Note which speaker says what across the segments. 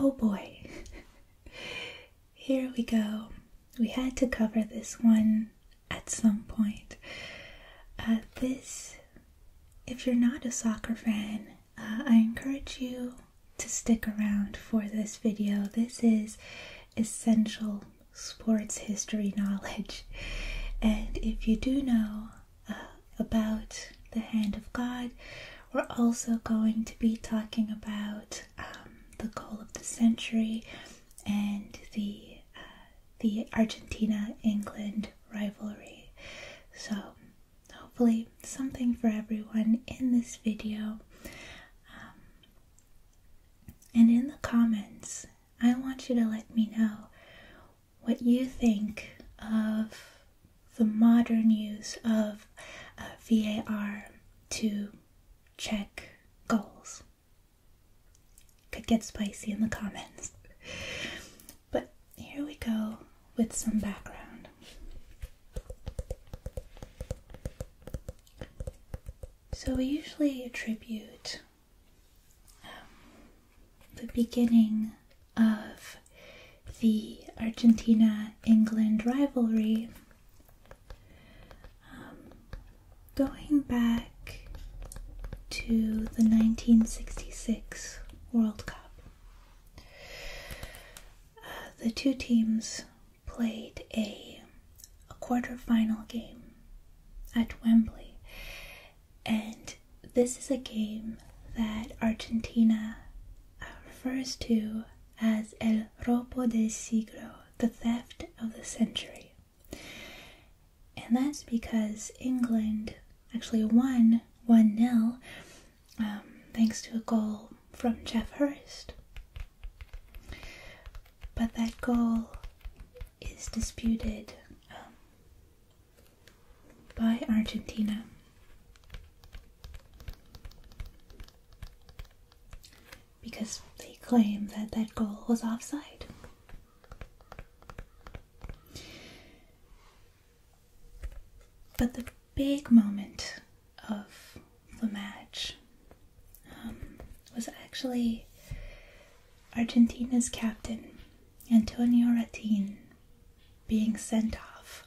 Speaker 1: Oh boy, here we go. We had to cover this one at some point. Uh, this, if you're not a soccer fan, uh, I encourage you to stick around for this video. This is essential sports history knowledge. And if you do know uh, about the hand of God, we're also going to be talking about um, the goal of the century and the uh, the Argentina England rivalry. So hopefully something for everyone in this video. Um, and in the comments, I want you to let me know what you think of the modern use of uh, VAR to check goals. Could get spicy in the comments. But here we go with some background. So we usually attribute um, the beginning of the Argentina England rivalry um, going back to the 1966 World Cup. Uh, the two teams played a, a quarterfinal game at Wembley, and this is a game that Argentina uh, refers to as El Robo del Siglo, the theft of the century. And that's because England actually won 1 0 um, thanks to a goal from Jeff Hurst. But that goal is disputed um, by Argentina. Because they claim that that goal was offside. But the big moment of the match um, was actually Argentina's captain, Antonio Ratin, being sent off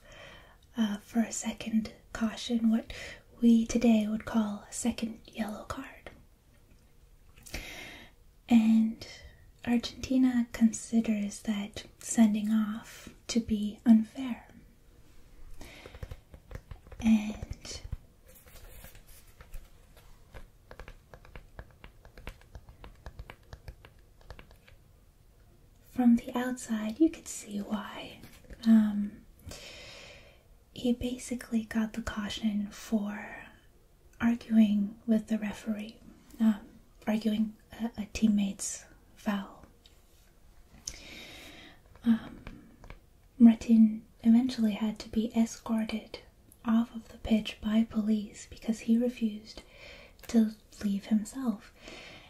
Speaker 1: uh, for a second caution, what we today would call a second yellow card. And Argentina considers that sending off to be unfair and from the outside, you could see why. Um, he basically got the caution for arguing with the referee, um, arguing a teammate's foul. Um, eventually had to be escorted off of the pitch by police because he refused to leave himself.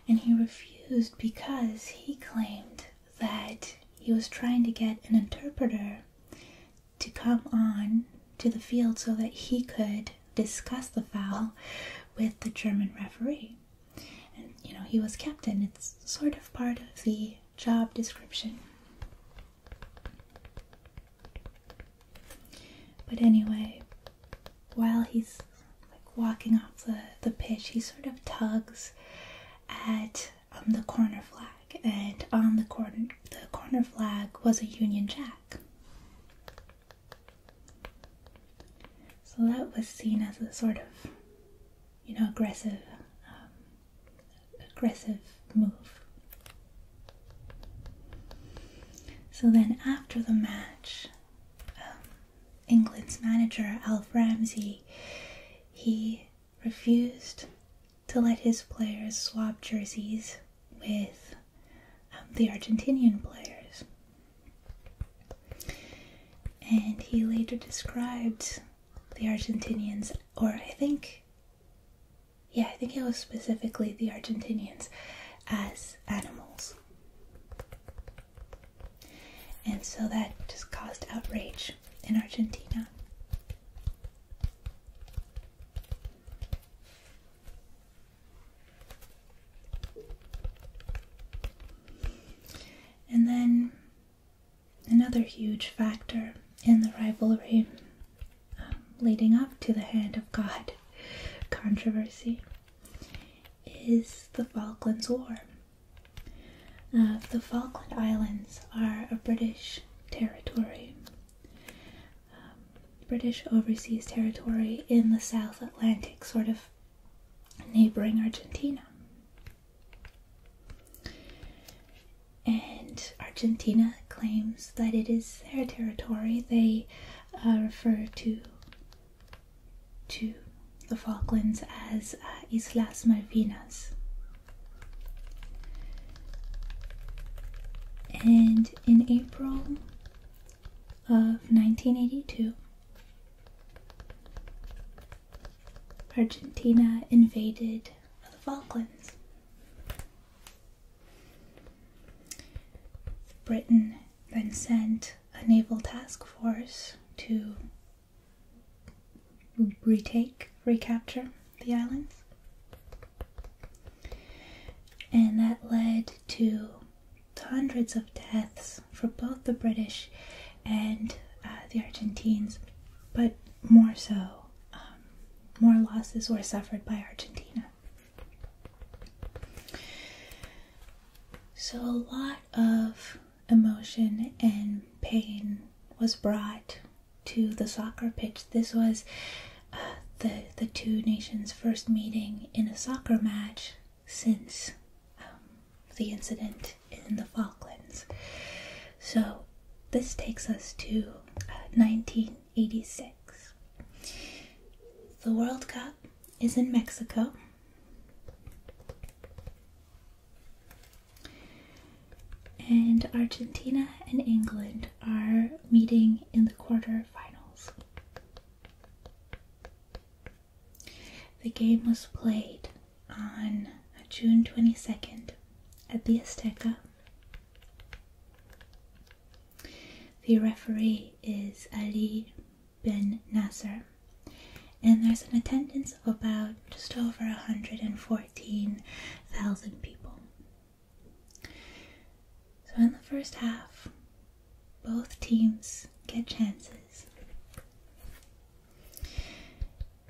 Speaker 1: And he refused because he claimed that he was trying to get an interpreter to come on to the field so that he could discuss the foul with the German referee. And you know, he was captain, it's sort of part of the job description. But anyway, while he's like walking off the, the pitch, he sort of tugs at um, the corner flag, and on the corner the corner flag was a Union Jack. So that was seen as a sort of you know, aggressive, um, aggressive move. So then after the match, um, England's manager Alf Ramsey, he refused to let his players swap jerseys with um, the Argentinian players. And he later described the Argentinians, or I think, yeah, I think it was specifically the Argentinians, as animals. And so that just caused outrage in Argentina. And then another huge factor in the rivalry um, leading up to the Hand of God controversy is the Falklands War. Uh, the Falkland Islands are a British territory, um, British overseas territory in the South Atlantic, sort of neighboring Argentina. And Argentina claims that it is their territory. They uh, refer to to the Falklands as uh, Islas Malvinas. And in April of 1982, Argentina invaded the Falklands. Britain then sent a naval task force to retake, recapture the islands. And that led to hundreds of deaths for both the British and uh, the Argentines, but more so, um, more losses were suffered by Argentina. So, a lot of emotion and pain was brought to the soccer pitch. This was uh, the, the two nations' first meeting in a soccer match since um, the incident in the Falklands. So this takes us to 1986. Uh, the World Cup is in Mexico. And Argentina and England are meeting in the quarterfinals. The game was played on June 22nd at the Azteca. The referee is Ali Ben Nasser, and there's an attendance of about just over 114,000 people. So, in the first half, both teams get chances.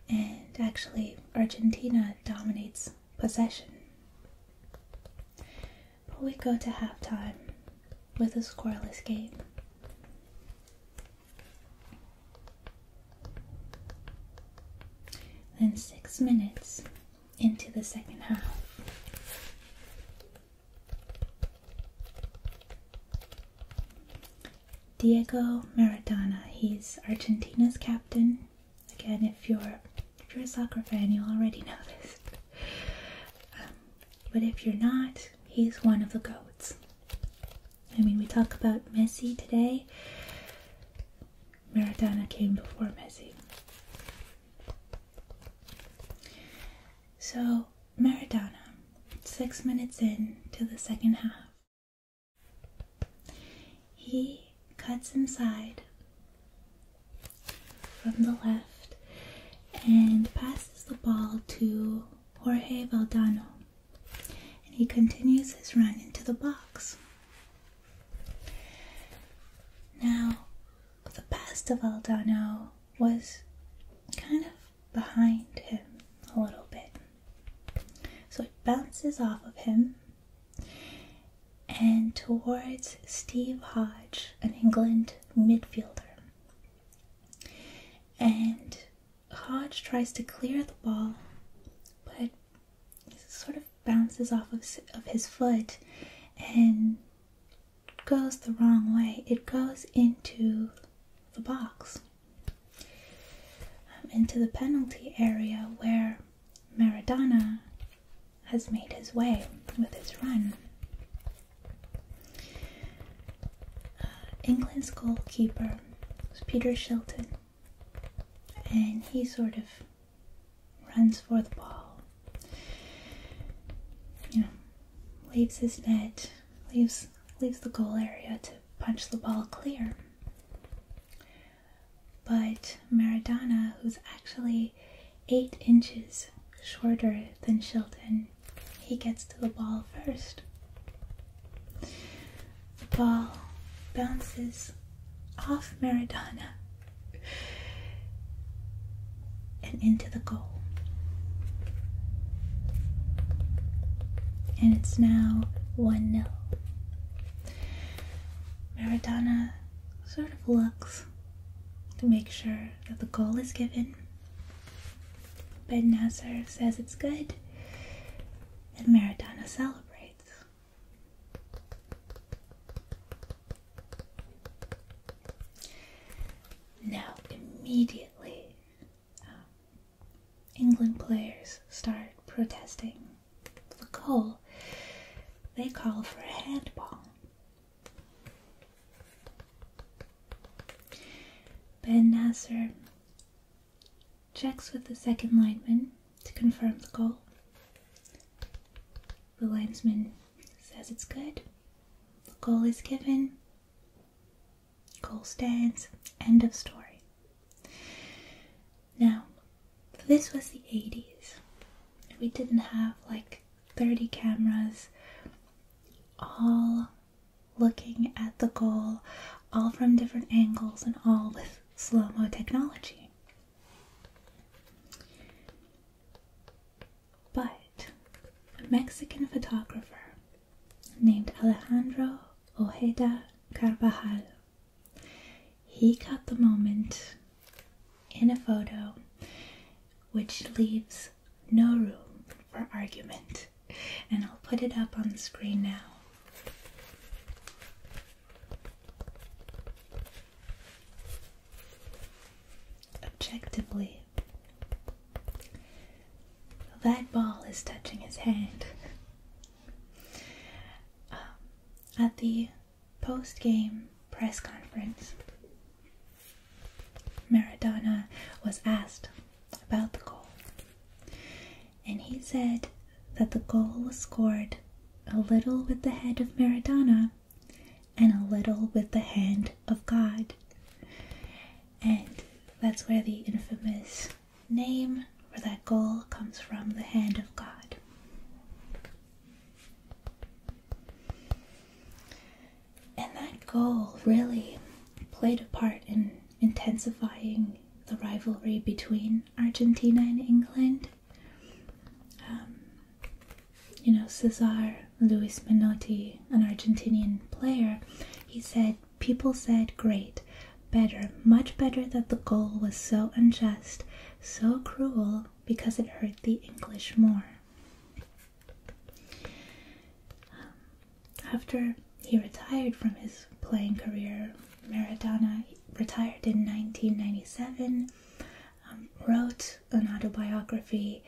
Speaker 1: And actually, Argentina dominates possession. But we go to halftime with a scoreless game. Then, six minutes into the second half, Diego Maradona, he's Argentina's captain. Again, if you're you're a soccer fan, you already know this. Um, but if you're not, he's one of the goats. I mean, we talk about Messi today. Maradona came before Messi. So Maradona, six minutes in to the second half. He cuts inside from the left and passes the ball to Jorge Valdano. And he continues his run into the box. Now, the pass to Valdano was kind of behind him a little bit. So it bounces off of him and towards Steve Hodge, an England midfielder. And Hodge tries to clear the ball, but it sort of bounces off of, of his foot and goes the wrong way, it goes into the box, um, into the penalty area where Maradona has made his way with his run. Uh, England's goalkeeper was Peter Shilton, and he sort of runs for the ball. You Leaves his net, leaves leaves the goal area to punch the ball clear. But Maradona, who's actually eight inches shorter than Shilton, he gets to the ball first. The ball bounces off Maradona and into the goal. And it's now 1 0. Maradona sort of looks to make sure that the goal is given. Ben Nasser says it's good, and Maradona celebrates. Now, immediately. Um, England players start protesting the goal. They call for a handball. Ben Nasser checks with the second lineman to confirm the goal. The linesman says it's good. The goal is given, Goal stands, end of story. Now, this was the 80s. We didn't have like 30 cameras all looking at the goal, all from different angles, and all with slow mo technology. But a Mexican photographer named Alejandro Ojeda Carvajal, he caught the moment in a photo which leaves no room for argument. And I'll put it up on the screen now objectively, that ball is touching his hand. Um, at the post game press conference, Maradona was asked about the goal, and he said that the goal was scored a little with the head of Maradona and a little with the hand of God. And that's where the infamous name for that goal comes from the hand of God. And that goal really played a part in intensifying the rivalry between Argentina and England. Um, you know, Cesar Luis Menotti, an Argentinian player, he said, People said great, better, much better that the goal was so unjust, so cruel, because it hurt the English more. Um, after he retired from his playing career, Maradona retired in 1997, um, wrote an autobiography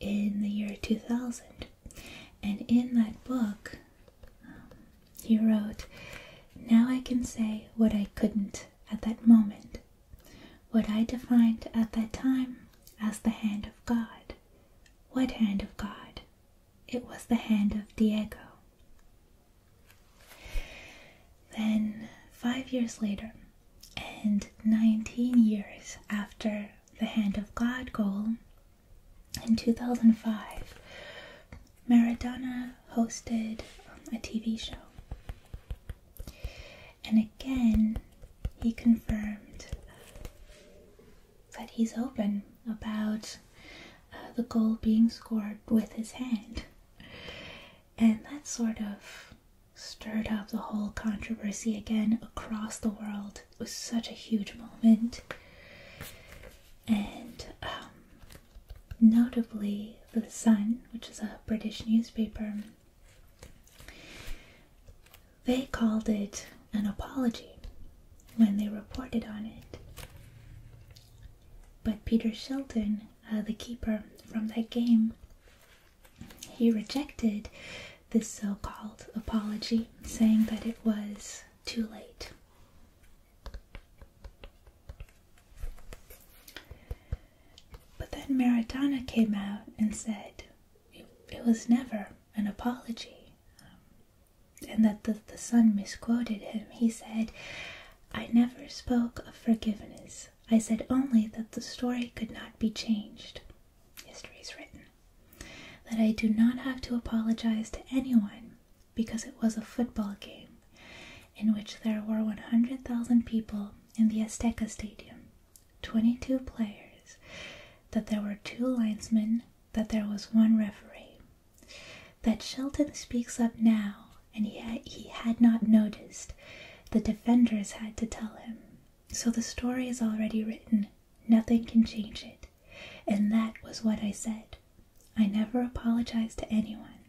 Speaker 1: in the year 2000. And in that book, um, he wrote, Now I can say what I couldn't at that moment, what I defined at that time as the hand of God. What hand of God? It was the hand of Diego. Then, five years later, and 19 years after The Hand of God goal, in 2005, Maradona hosted a TV show. And again, he confirmed that he's open about uh, the goal being scored with his hand. And that sort of stirred up the whole controversy again across the world. It was such a huge moment. And um, notably, The Sun, which is a British newspaper, they called it an apology when they reported on it. But Peter Shilton, uh, the keeper from that game, he rejected this so called apology, saying that it was too late. But then Maradona came out and said it was never an apology, um, and that the, the son misquoted him. He said, I never spoke of forgiveness. I said only that the story could not be changed history is written, that I do not have to apologize to anyone because it was a football game in which there were 100,000 people in the Azteca Stadium, 22 players, that there were two linesmen, that there was one referee. That Shelton speaks up now and yet he had not noticed. The defenders had to tell him so the story is already written, nothing can change it. And that was what I said. I never apologize to anyone.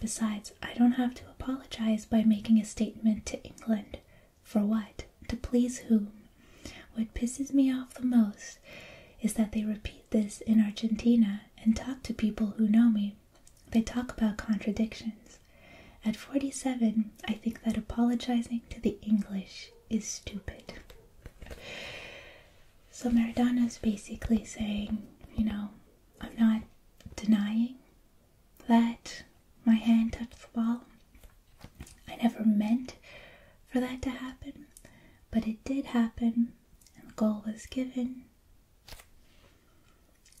Speaker 1: Besides, I don't have to apologize by making a statement to England. For what? To please whom? What pisses me off the most is that they repeat this in Argentina and talk to people who know me. They talk about contradictions. At 47, I think that apologizing to the English is stupid. So Maradona is basically saying, you know, I'm not denying that my hand touched the ball. I never meant for that to happen, but it did happen, and the goal was given.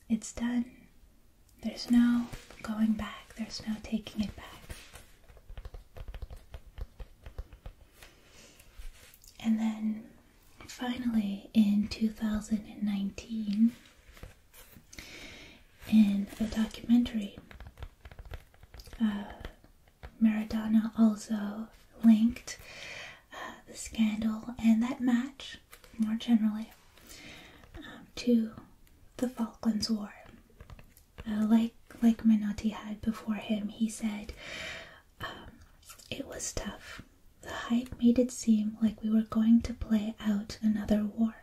Speaker 1: It's done. There's no going back, there's no taking it back. And then finally in 2019, in a documentary, uh, Maradona also linked uh, the scandal and that match more generally um, to the Falklands War. Uh, like like Menotti had before him, he said um, it was tough. The hype made it seem like we were going to play out another war.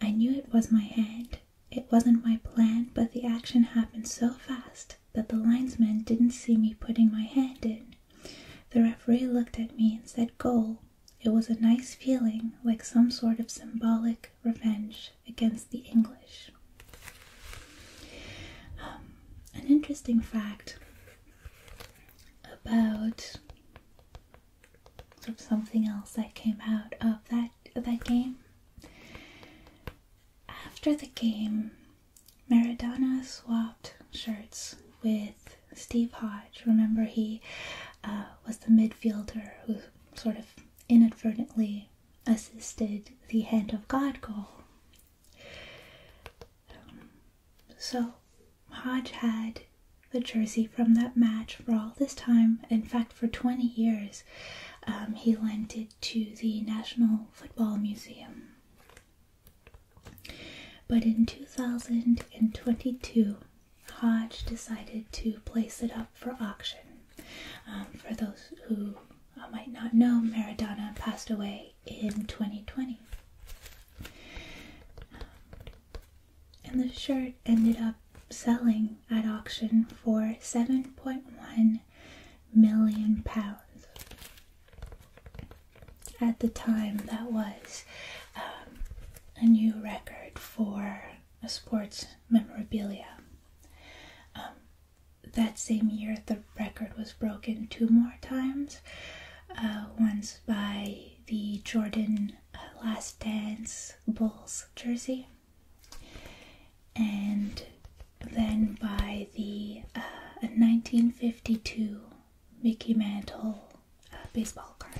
Speaker 1: I knew it was my hand. It wasn't my plan, but the action happened so fast that the linesman didn't see me putting my hand in. The referee looked at me and said, Goal. It was a nice feeling, like some sort of symbolic revenge against the English. Um, an interesting fact about something else that came out of that of that game. After the game, Maradona swapped shirts with Steve Hodge. Remember, he uh, was the midfielder who sort of inadvertently assisted the hand of God goal. so, Hodge had the jersey from that match for all this time. In fact, for 20 years, um, he lent it to the National Football Museum. But in 2022, Hodge decided to place it up for auction. Um, for those who might not know, Maradona passed away in 2020. and the shirt ended up selling at auction for 7.1 million pounds at the time, that was um, a new record for sports memorabilia. Um, that same year, the record was broken two more times. Uh, once by the Jordan uh, Last Dance Bulls jersey, and then by the 1952 uh, Mickey Mantle uh, baseball card.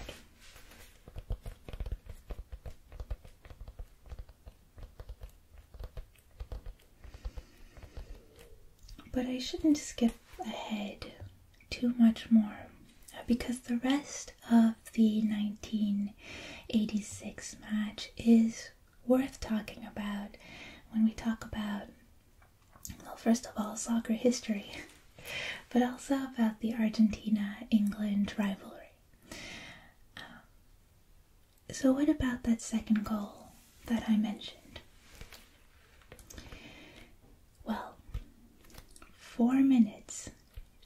Speaker 1: But I shouldn't skip ahead too much more uh, because the rest of the 1986 match is worth talking about when we talk about well, first of all, soccer history, but also about the Argentina England rivalry. Um, so, what about that second goal that I mentioned? Well, four minutes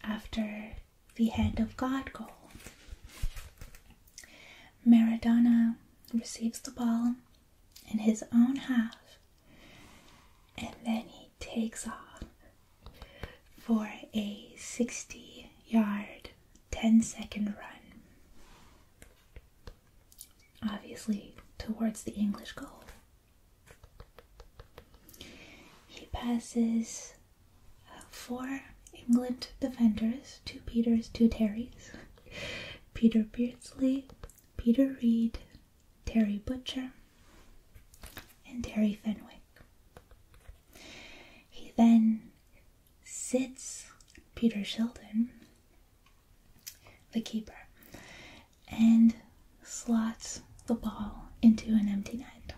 Speaker 1: after the hand of God goal, Maradona receives the ball in his own half and then he takes off for a 60 yard 10 second run, obviously towards the English goal. He passes uh, four England defenders two Peters, two Terrys, Peter Beardsley, Peter Reed, Terry Butcher, and Terry Fenwick. He then sits Peter Sheldon, the keeper, and slots the ball into an empty net.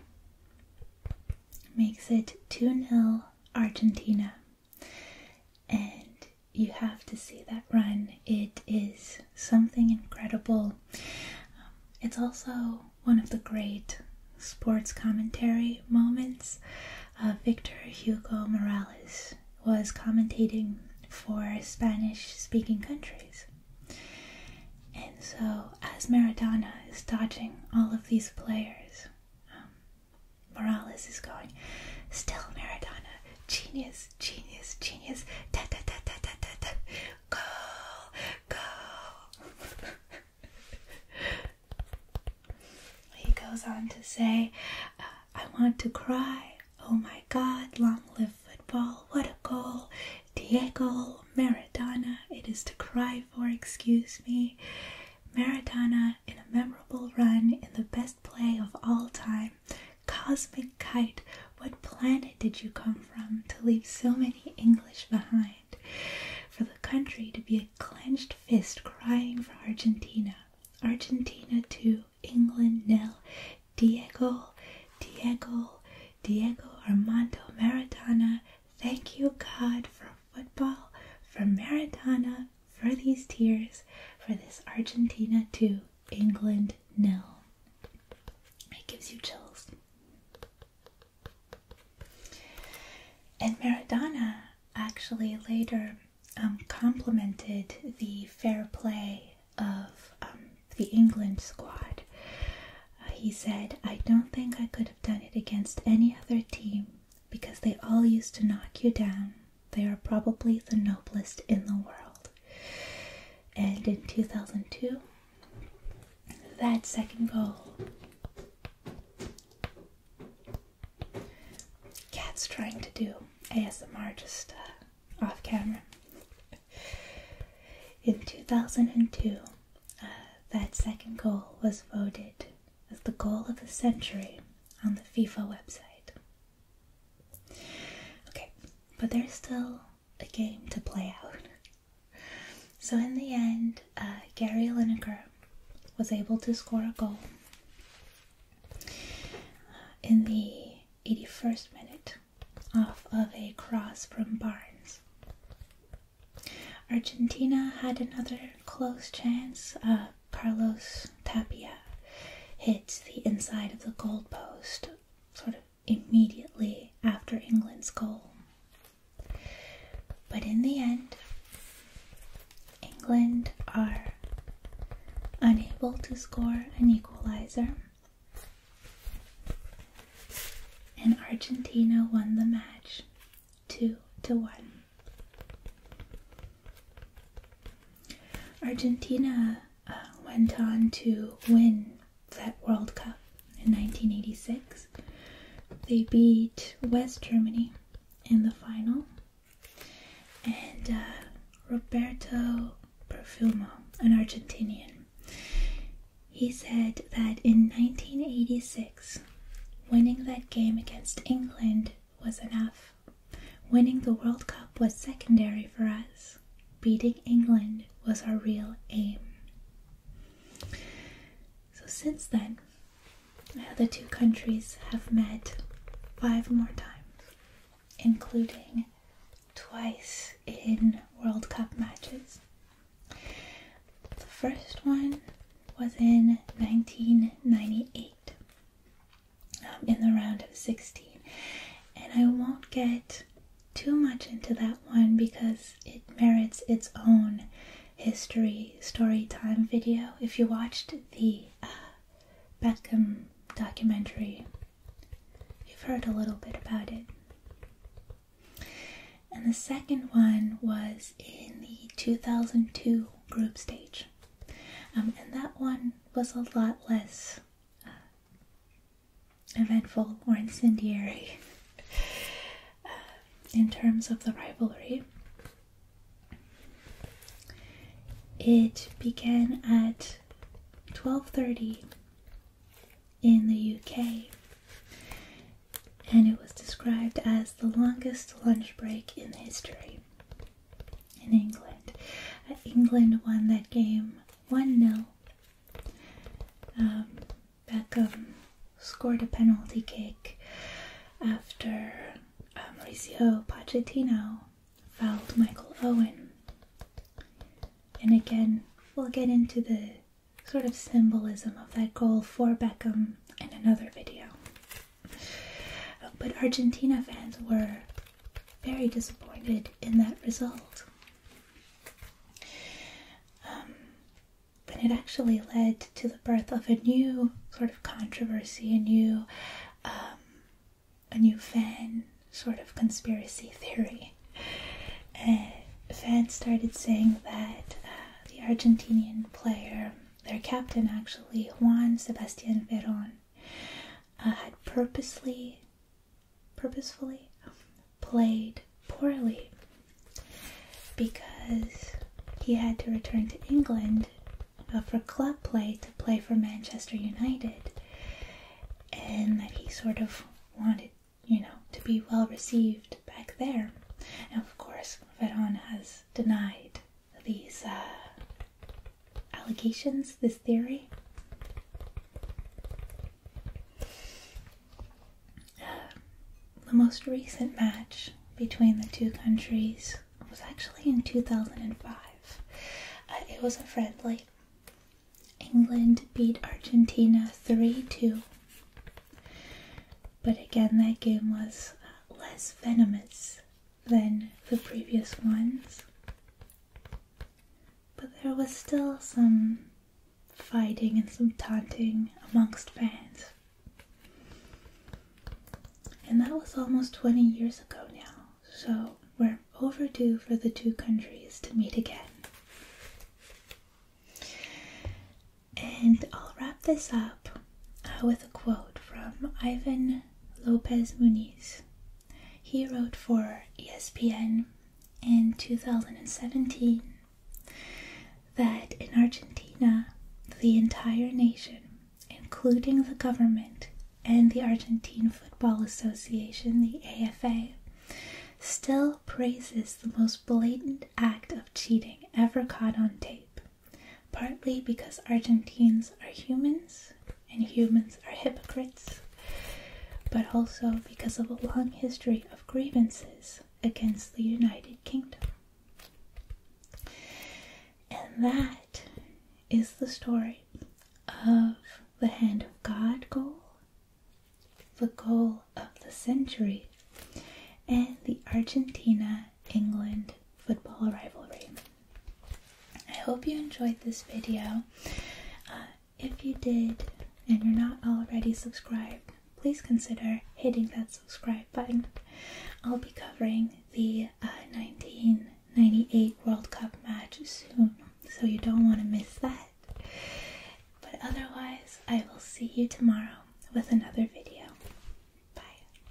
Speaker 1: Makes it 2 0 Argentina. And you have to see that run. It is something incredible. Um, it's also one of the great sports commentary moments. Uh, Victor Hugo Morales was commentating for Spanish speaking countries. And so, as Maradona is dodging all of these players, um, Morales is going, Still Maradona, genius, genius, genius, genius. Da da da da da da da. Go, go. he goes on to say, uh, I want to cry. Oh my God, long live football. What a goal. Diego Maradona, it is to cry for, excuse me. Maradona in a memorable run in the best play of all time, Cosmic Kite. What planet did you come from to leave so many English behind? For the country to be a clenched fist crying for Argentina. Argentina to England nil. Diego, Diego, Diego Armando Maradona. Thank you, God, for football, for Maradona, for these tears, for this Argentina too. England Nil. It gives you chills. And Maradona actually later um, complimented the fair play of um, the England squad. Uh, he said, I don't think I could have done it against any other team because they all used to knock you down they are probably the noblest in the world. And in 2002, that second goal. Cat's trying to do ASMR just uh, off camera. in 2002, uh, that second goal was voted as the goal of the century on the FIFA website. Okay, but there's still a game to play out. So in the end, uh, Gary Lineker was able to score a goal uh, in the 81st minute off of a cross from Barnes. Argentina had another close chance. Um, Carlos Tapia hits the inside of the goalpost sort of immediately after England's goal. But in the end, England are unable to score an equalizer, and Argentina won the match 2 to 1. Argentina uh, went on to win that World Cup in 1986. They beat West Germany in the final, and uh, Roberto Perfumo, an Argentinian, he said that in 1986, winning that game against England was enough. Winning the World Cup was secondary for us. Beating England was our real aim. So, since then, the two countries have met five more times, including twice in World Cup matches. The first one was in 1998. Um, in the round of 16. And I won't get too much into that one because it merits its own history story time video. If you watched the uh, Beckham documentary, you've heard a little bit about it. And the second one was in the 2002 group stage. Um, and that one was a lot less uh, eventful or incendiary uh, in terms of the rivalry. It began at 12:30 in the UK and it was described as the longest lunch break in history in England. Uh, England won that game 1 0. Um, Beckham scored a penalty kick after uh, Mauricio Pochettino fouled Michael Owen. And again, we'll get into the sort of symbolism of that goal for Beckham in another video. But Argentina fans were very disappointed in that result. and um, it actually led to the birth of a new sort of controversy, a new, um, a new fan sort of conspiracy theory. fans started saying that uh, the Argentinian player, their captain actually, Juan Sebastian Veron, uh, had purposely, purposefully played poorly because he had to return to England for club play to play for Manchester United, and that he sort of wanted, you know, to be well received back there. And of course, Veron has denied these uh, allegations, this theory. Uh, the most recent match between the two countries was actually in 2005. Uh, it was a friendly. England beat Argentina 3 2. But again, that game was less venomous than the previous ones, but there was still some fighting and some taunting amongst fans. And that was almost 20 years ago now, so we're overdue for the two countries to meet again. And I'll wrap this up uh, with a quote from Ivan Lopez Muniz. He wrote for ESPN in 2017 that in Argentina, the entire nation, including the government and the Argentine Football Association, the AFA, still praises the most blatant act of cheating ever caught on tape partly because Argentines are humans and humans are hypocrites, but also because of a long history of grievances against the United Kingdom. And that is the story of the Hand of God goal, the goal of the century, and the Argentina England football rivalry. I hope you enjoyed this video. Uh, if you did and you're not already subscribed, please consider hitting that subscribe button. I'll be covering the 1998 uh, World Cup match soon, so you don't want to miss that. But otherwise, I will see you tomorrow with another video. Bye.